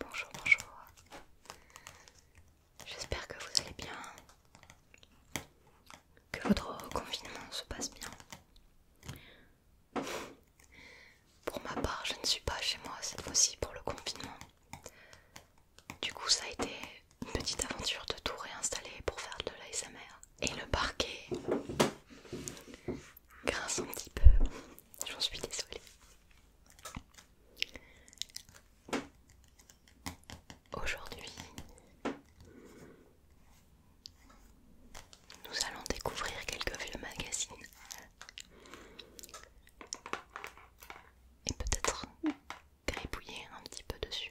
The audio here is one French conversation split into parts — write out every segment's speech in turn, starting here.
Bonjour, bonjour. J'espère que vous allez bien. Que votre confinement se passe bien. Pour ma part, je ne suis pas chez moi cette fois-ci pour le confinement. Du coup, ça a été une petite aventure de tout réinstaller pour faire de l'ASMR et le parquet grince un petit peu. J'en suis désolée. Aujourd'hui, nous allons découvrir quelques vieux magazines et peut-être gribouiller un petit peu dessus.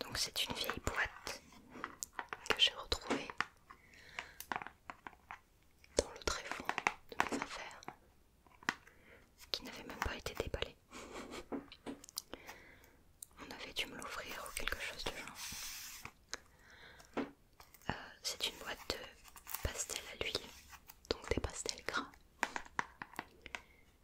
Donc c'est une vieille boîte que j'ai retrouvée dans le tréfonds de mes affaires qui n'avait même pas été déballée. On avait dû me l'offrir ou quelque chose de genre. Euh, c'est une boîte de pastels à l'huile, donc des pastels gras.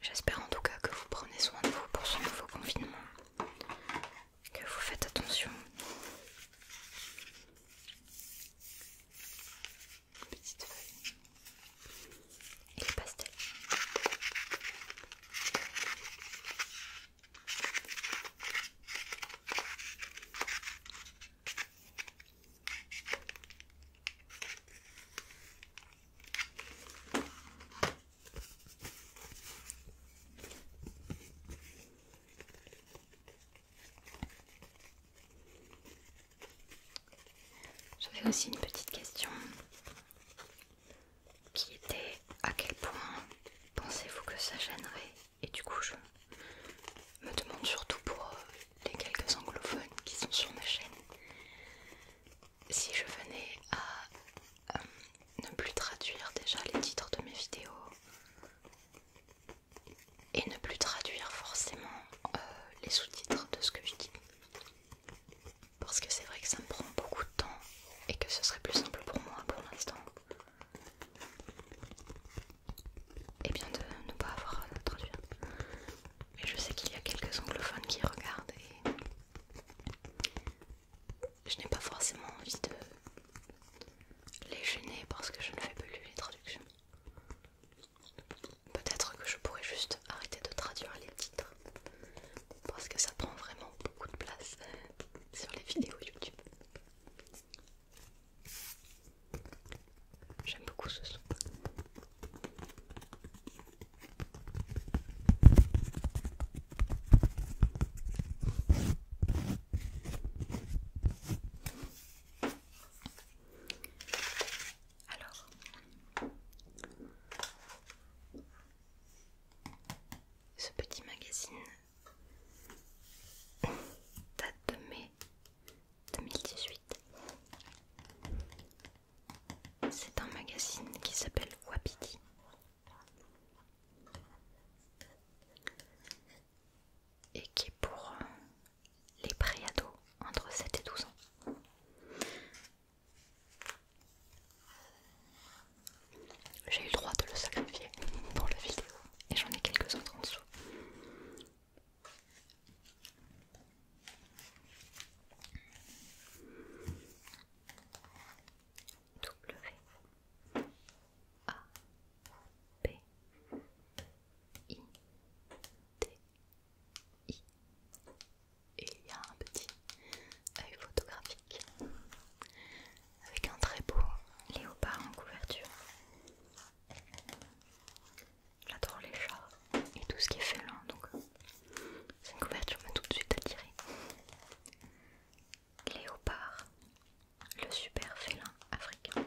J'espère en tout cas que vous prenez soin de vous pour ce nouveau confinement, que vous faites attention. Petite feuille et les pastels. J'avais aussi une petite question qui était à quel point pensez-vous que ça gênerait Et du coup, je me demande surtout pour euh, les quelques anglophones qui sont sur ma chaîne, si je venais à euh, ne plus traduire déjà les titres de mes vidéos et ne plus traduire forcément euh, les sous-titres de ce que je dis, parce que c'est vrai que ça me prend beaucoup de temps et que ce serait plus simple pour moi pour l'instant et bien de ne pas avoir à traduire. Mais je sais qu'il y a quelques anglophones qui regardent et je n'ai pas forcément envie de les gêner parce que je ne fais plus les traductions. Peut-être que je pourrais juste arrêter de traduire les titres parce que ça prend vraiment beaucoup de place sur les vidéos YouTube. J'aime beaucoup ce son. Alors, ce petit magazine date de mai 2018. C'est un magazine qui s'appelle Wapiti. Et qui est pour euh, les préados entre 7 et 12 ans. J'ai eu le droit de le sacrifier pour la vidéo et j'en ai quelques autres en dessous. W A B, I T I et il y a un petit œil photographique avec un très beau léopard en couverture. J'adore les chats et tout ce qui est félin, donc c'est une couverture m'a tout de suite attirée. Léopard, le super félin africain.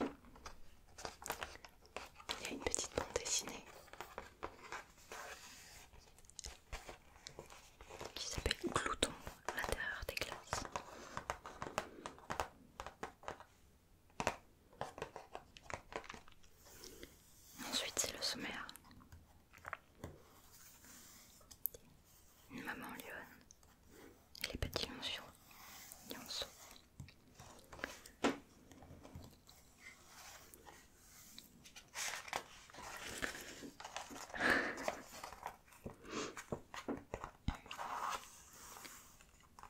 Il y a une petite bande dessinée qui s'appelle Glouton à l'intérieur des glaces. Ensuite, c'est le sommaire. Une maman lionne les petits un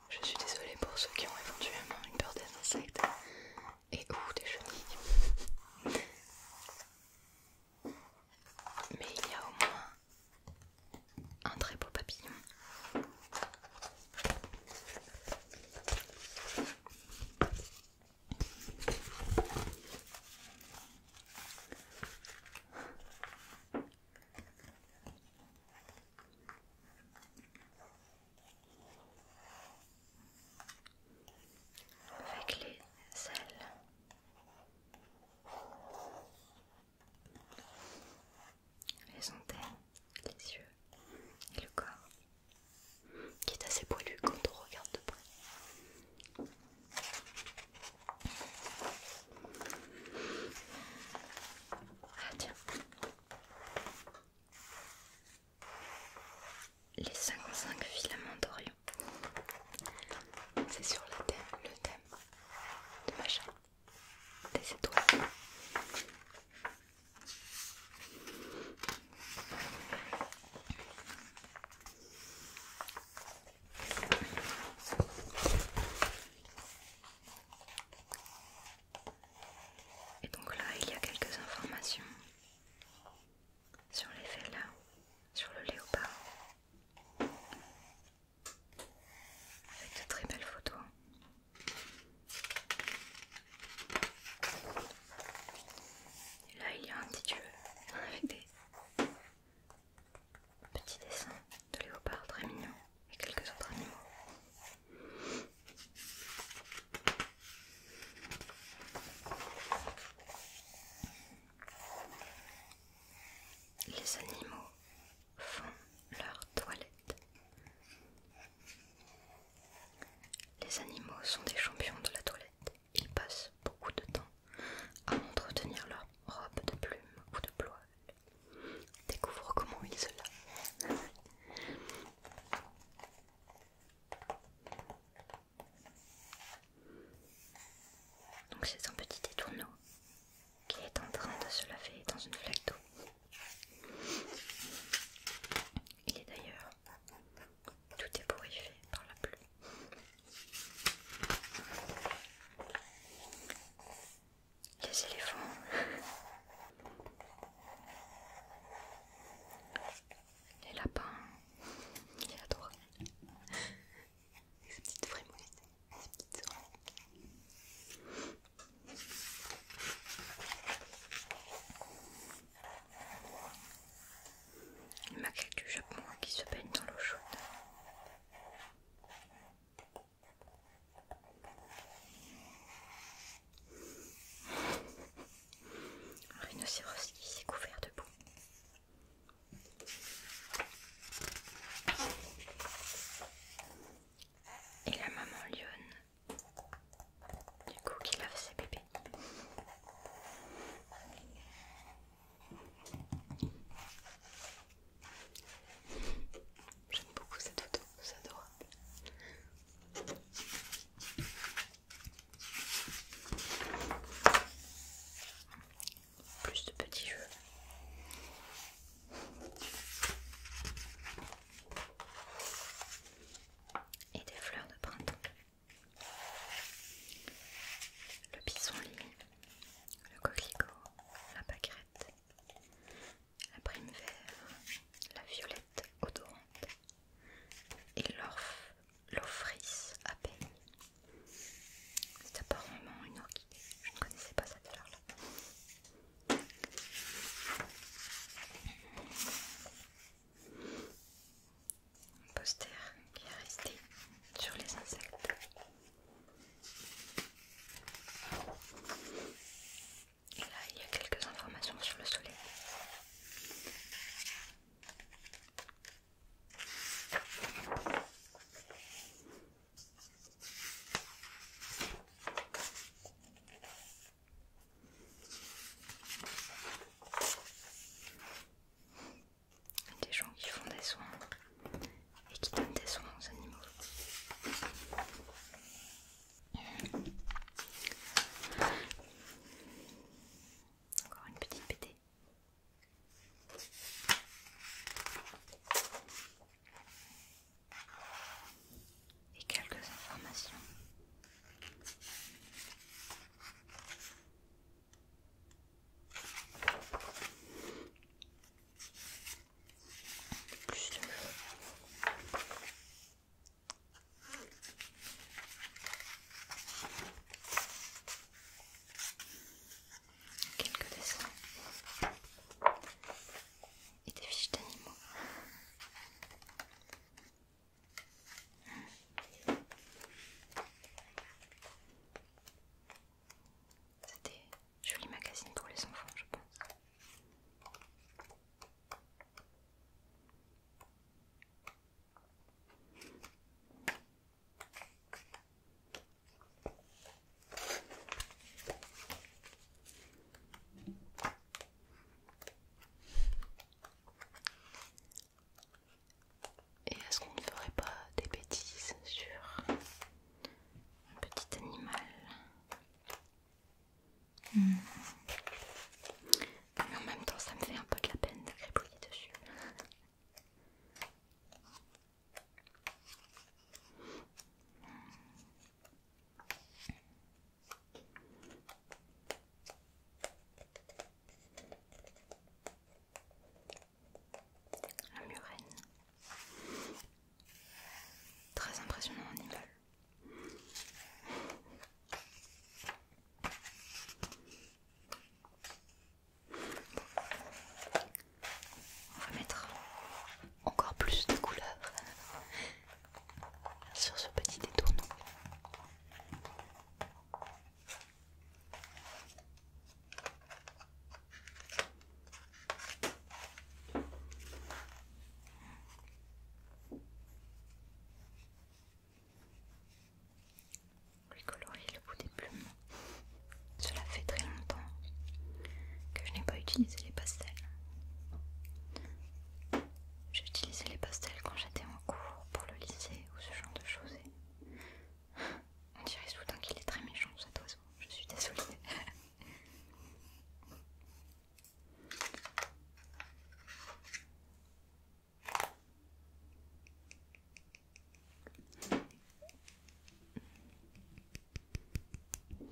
Je suis désolée pour ceux qui ont éventuellement une peur des insectes et ou des chenilles. Mais il y a au moins un très beau papillon. Avec les ailes les antennes, les yeux et le corps qui est assez poilu quand on regarde de près. Ah tiens. Les 55 filaments d'Orion. C'est sur le thème, le thème de ma et donc là, il y a quelques informations sur les là, sur le léopard, avec de très belles photos. Hein. Et là, il y a un petit dieu hein, avec des petits dessins de léopards très mignons et quelques autres animaux. Les animaux font leur toilette. Les animaux sont des champions de la toilette. Ils passent beaucoup de temps à entretenir leur robe de plumes ou de ploie. Découvre comment ils se lavent. Donc c'est un petit étourneau qui est en train de se laver dans une flaque d'eau. Il est d'ailleurs tout ébouriffé par la pluie. Les éléphants. Les lapins. Il adore. Les petites il du Japon hein, qui se baigne dans l'eau chaude. Un rhinocéros qui s'est couvert de boue et la maman lionne du coup qui lave ses bébés j'aime beaucoup cette auto c'est adorable plus de petits jeux et des fleurs de printemps. Le lime, le coquelicot, la pâquerette, la prime verte, la violette odorante et l'offrice à peine. C'est apparemment une orchidée, je ne connaissais pas cette fleur-là poster qui est resté sur les insectes. Et là, il y a quelques informations sur le soleil. Des gens qui font des soins et qui donnent des soins aux animaux. Encore une petite pété et quelques informations quelques dessins et des fiches d'animaux. C'était joli magazine pour les enfants, je pense. Et est-ce qu'on ne ferait pas des bêtises sur un petit animal hmm. Mais en même temps, ça me fait un peu de la peine de dessus. La murène. Très impressionnant animal. On va mettre encore plus de couleurs sur ce petit détournement. Lui le bout des plumes cela fait très longtemps que je n'ai pas utilisé les pastels. J'utilisais les pastels quand j'étais en cours pour le lycée ou ce genre de choses. On dirait soudain qu'il est très méchant cet oiseau. Je suis désolée. Je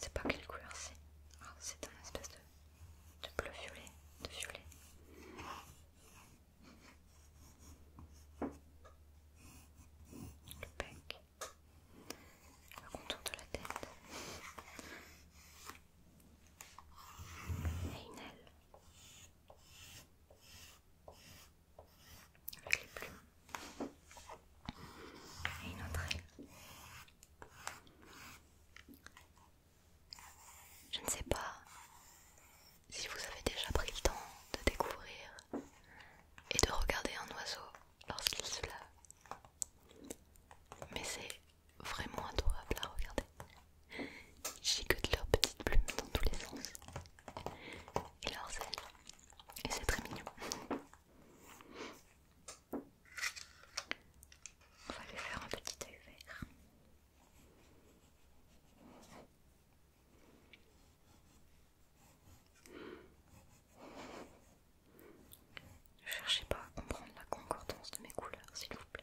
ne sais pas quelle couleur c'est. Ah, c'est un espèce de, de bleu violet, de violet. Le bec, le contour de la tête et une aile avec les plumes et une autre aile. Je ne sais pas si vous avez déjà pris le temps de découvrir et de regarder un oiseau lorsqu'il se lave, mais c'est vraiment adorable à regarder. Ils de leurs petites plumes dans tous les sens et leurs ailes et c'est très mignon. On va lui faire un petit œil vert. Ne cherchez pas à comprendre la concordance de mes couleurs, s'il vous plaît.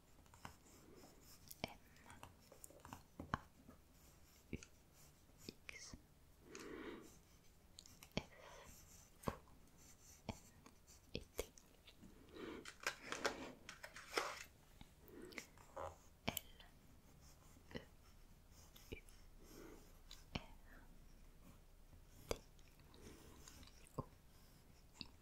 M-A-U-X F O N T L E U R T O I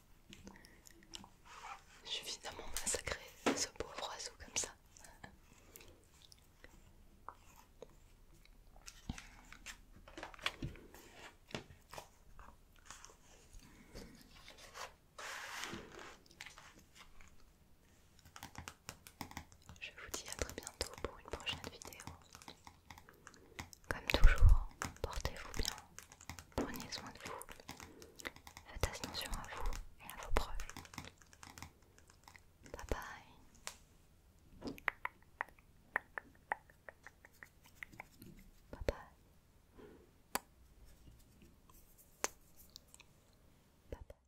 Je suis finalement massacré ce pauvre oiseau comme ça. Je vous dis à très bientôt pour une prochaine vidéo. Comme toujours, portez-vous bien, prenez soin de vous, faites attention à vous et à vos preuves. Bye bye. Bye bye. Bye bye.